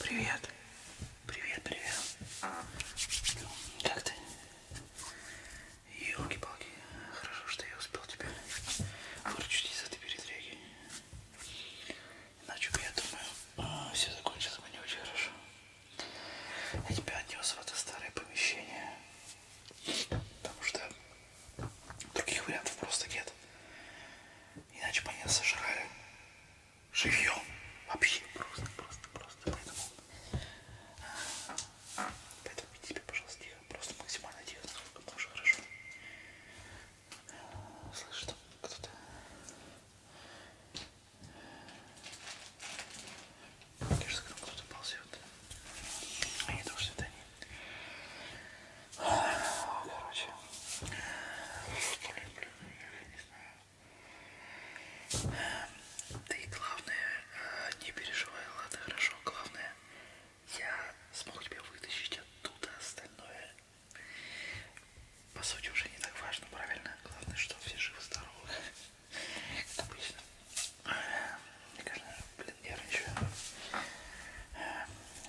Привет. Привет, привет. А. Как ты? Елки-палки. Хорошо, что я успел тебя а. выручить из этой передряги. Иначе бы, я думаю, а, все закончилось бы не очень хорошо. Я тебя отнес в это старое помещение. Потому что других вариантов просто нет. Иначе бы меня сожрали живьем. Вообще просто, просто, просто. Поэтому, поэтому веди себя, пожалуйста, тихо. Просто максимально тихо, насколько можешь, хорошо. Слышишь, там кто-то... Кажется, к нам кто-то ползет. А не то, что это они. Короче. Блин, блин не знаю. Ты главное, э, не переживай, ладно, хорошо, главное, я смог тебя вытащить оттуда, остальное, по сути, уже не так важно, правильно? Главное, что все живы-здоровы, как обычно. Мне кажется, блин, нервничаю.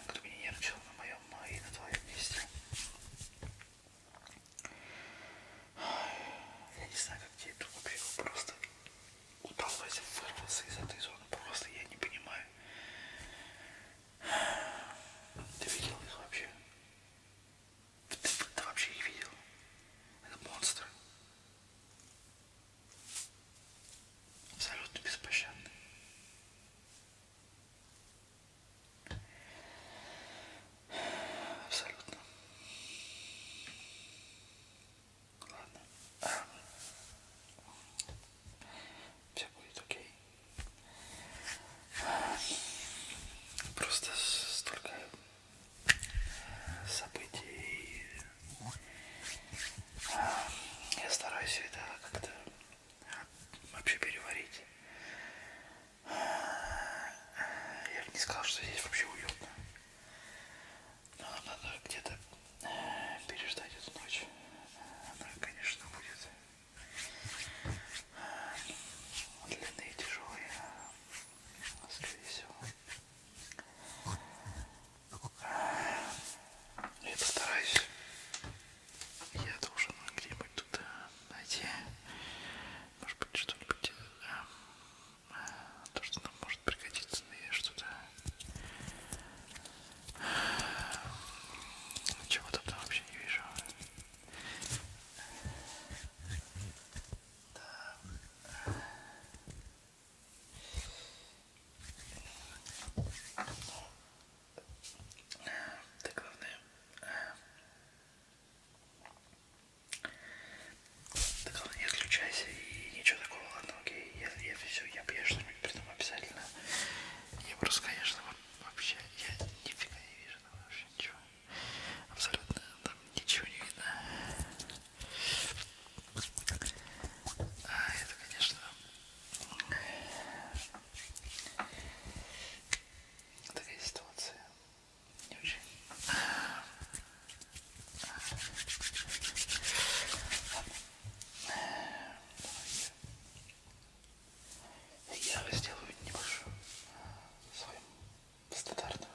Кто э, бы не нервничал на моем и на твоем месте. Я не знаю, как тебе это вообще просто удалось вырваться из этой зоны. Просто я не понимаю. Ты видел их вообще? Ты, ты, ты вообще их видел? Это монстры. Абсолютно беспощадные. Абсолютно. Ладно. Эм, Все будет окей. Просто столько событий. Эм, я стараюсь это как-то вообще переварить. Я бы не сказал, что здесь вообще уютно. Но нам надо где-то э, переждать эту ночь. Она, конечно, будет э, длинная и тяжелая, а скорее всего. Э, я постараюсь я должен где-нибудь туда найти, может быть, что-нибудь, эм, э, то, что нам может пригодиться, и что-то эм, чего-то там вообще не вижу. Так. Ну, да главное. Да э, главное не отключайся и ничего такого, ладно, окей. Я, я все, я, я что-нибудь придумаю обязательно. Я просто, конечно, вообще, я нифига не вижу, там вообще ничего. Абсолютно там ничего не видно. А это, конечно, такая ситуация не очень я сделаю небольшую свою стандартную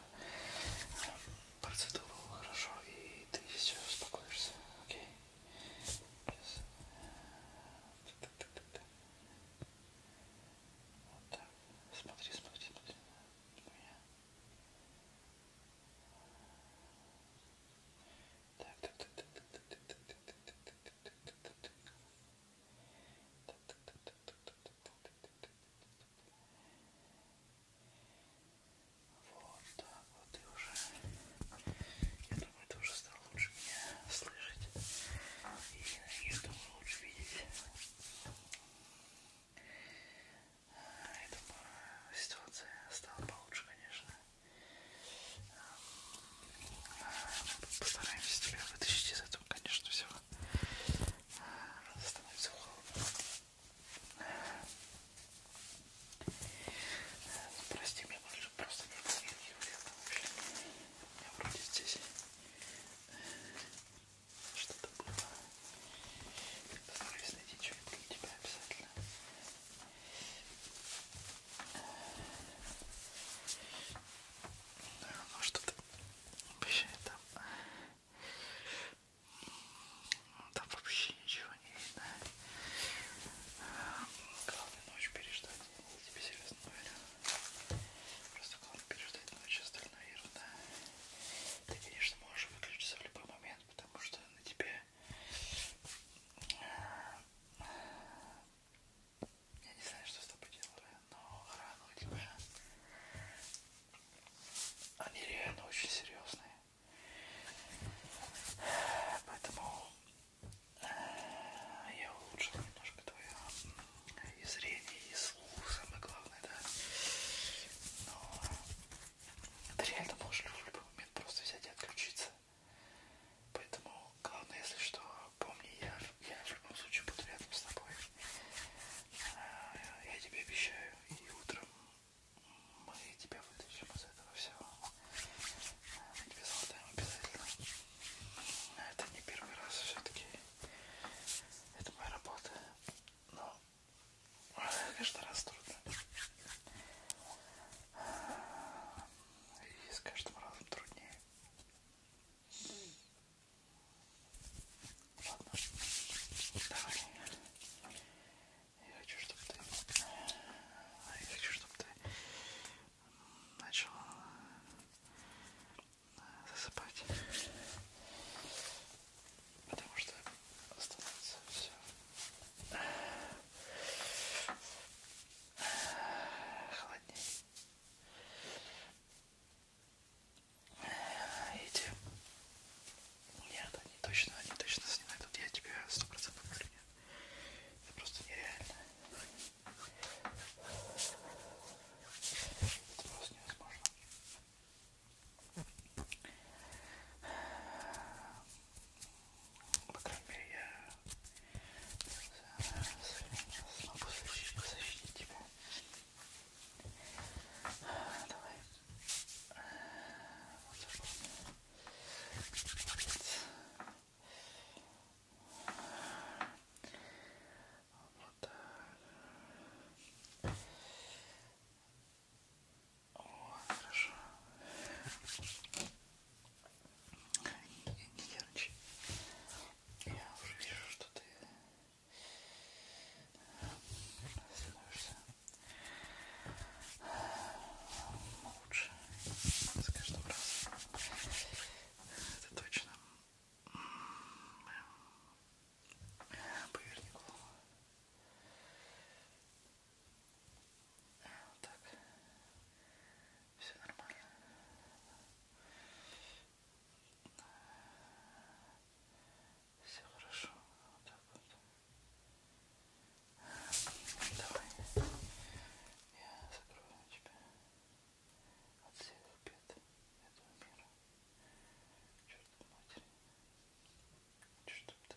процедуру хорошо и ты все успокоишься окей Сейчас. Так, так, так, так. Вот так. Смотри, смотри, смотри на меня. Так, так, так, так, так, так, так, так, так, так, так, так, так, так, так, так. Вот так вот и уже. Я думаю, тоже стал лучше меня слышать и, я думаю, лучше видеть. Я думаю, ситуация стала получше, конечно. Мы постараемся тебя вытащить из этого, конечно, все. Становится холодно. Прости меня, просто не помню, я вообще меня вроде здесь что-то было. Постараюсь найти что-нибудь для тебя обязательно. Ну что-то обещает там. Там вообще ничего не видно. Главное ночь переждать. Я тебе серьезно говорю. Просто главное переждать ночь, остальная ерунда. Ты, конечно, можешь выключиться в любой момент, потому что на тебе... Э, я не знаю, что с тобой делаю, но раны у тебя... Они реально очень серьезные. Поэтому я улучшил немножко твое и зрение, и слух, самое главное, да. Но ты реально можешь в любой момент просто взять и отключиться. Поэтому главное, если что, помни, я, я в любом случае буду рядом с тобой. А, я тебе обещаю, и утром мы тебя вытащим из этого всего. Мы тебе залатаем обязательно. Это не первый раз все-таки. Это моя работа. Но каждый раз трудно. И с каждым разом труднее. Ладно. Давай. Я хочу, чтобы ты... Я хочу, чтобы ты начал э, засыпать. Потому что становится все холоднее. Эти... Нет, они точно, они точно снимают. Тут я тебя сто процентов уверен. Это просто нереально. Это просто невозможно. По крайней мере, я смогу защитить, защитить тебя. Давай. Э, вот запомни. Молодец. Вот так. О, хорошо. Не, не нервничай. Я уже вижу, что ты становишься лучше с каждым разом. Это точно. Поверни голову. Вот так. Все нормально. Все хорошо. Вот так вот. Давай. Я закрою тебя от всех бед этого мира. Черт матери. Чтоб ты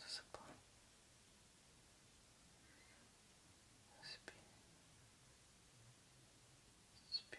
засыпал. Спи. Спи. Спи. Спи.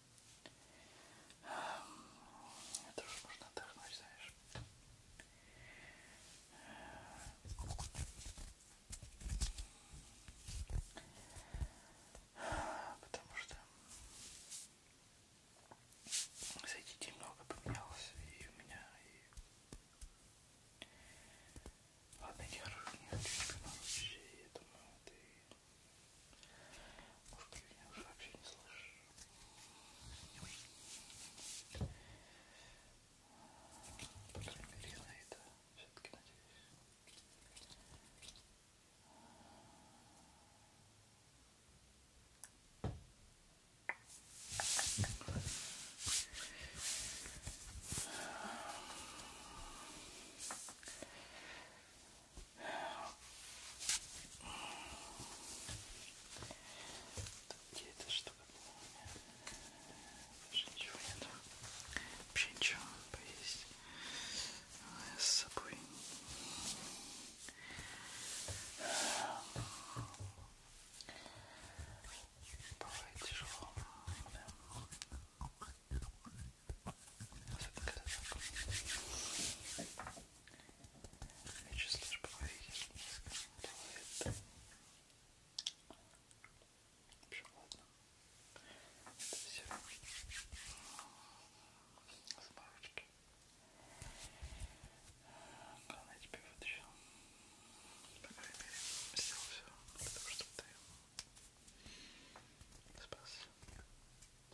Это уже можно отдохнуть, знаешь. Потому что за эти дни много поменялось и у меня, и... Ладно, я не, не хочу тебя нарушить, я думаю, ты может, ты меня уже вообще не слышишь? По крайней мере, на это все-таки надеюсь. Где эта штука была у меня? Даже ничего нету. Вообще ничего поесть. Я с собой. Бывает тяжело. Да. Вот это когда я чувствую, что поверхность низко делает. Вообще, ладно. Это все. Заморочки. Главное, я тебя вытащил. По крайней мере, сделал все для того, чтобы ты спас.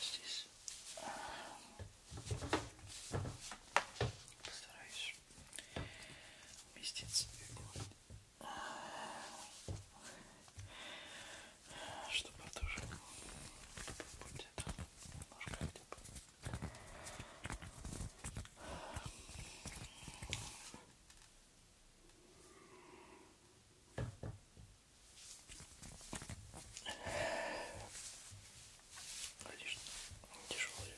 здесь постараюсь вместиться чтобы тоже будет немножко хотя бы Конечно, тяжелые.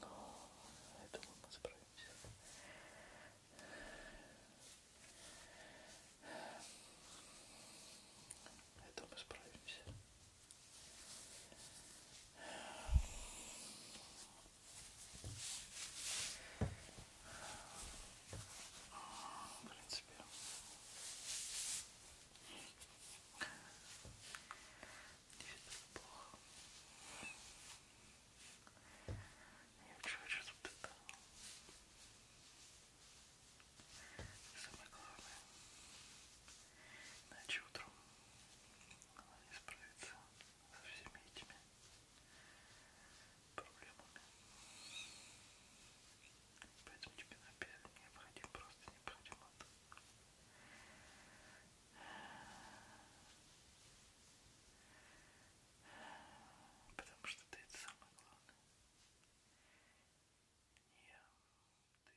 Но я думаю, мы справимся. Это мы справимся. В принципе. плохо. Я хочу, хочу вот это. И самое главное. Иначе утром она не справится со всеми этими проблемами. Поэтому тебе написано необходим, просто необходим отдых. Потому что ты это самое главное. Не я, ты.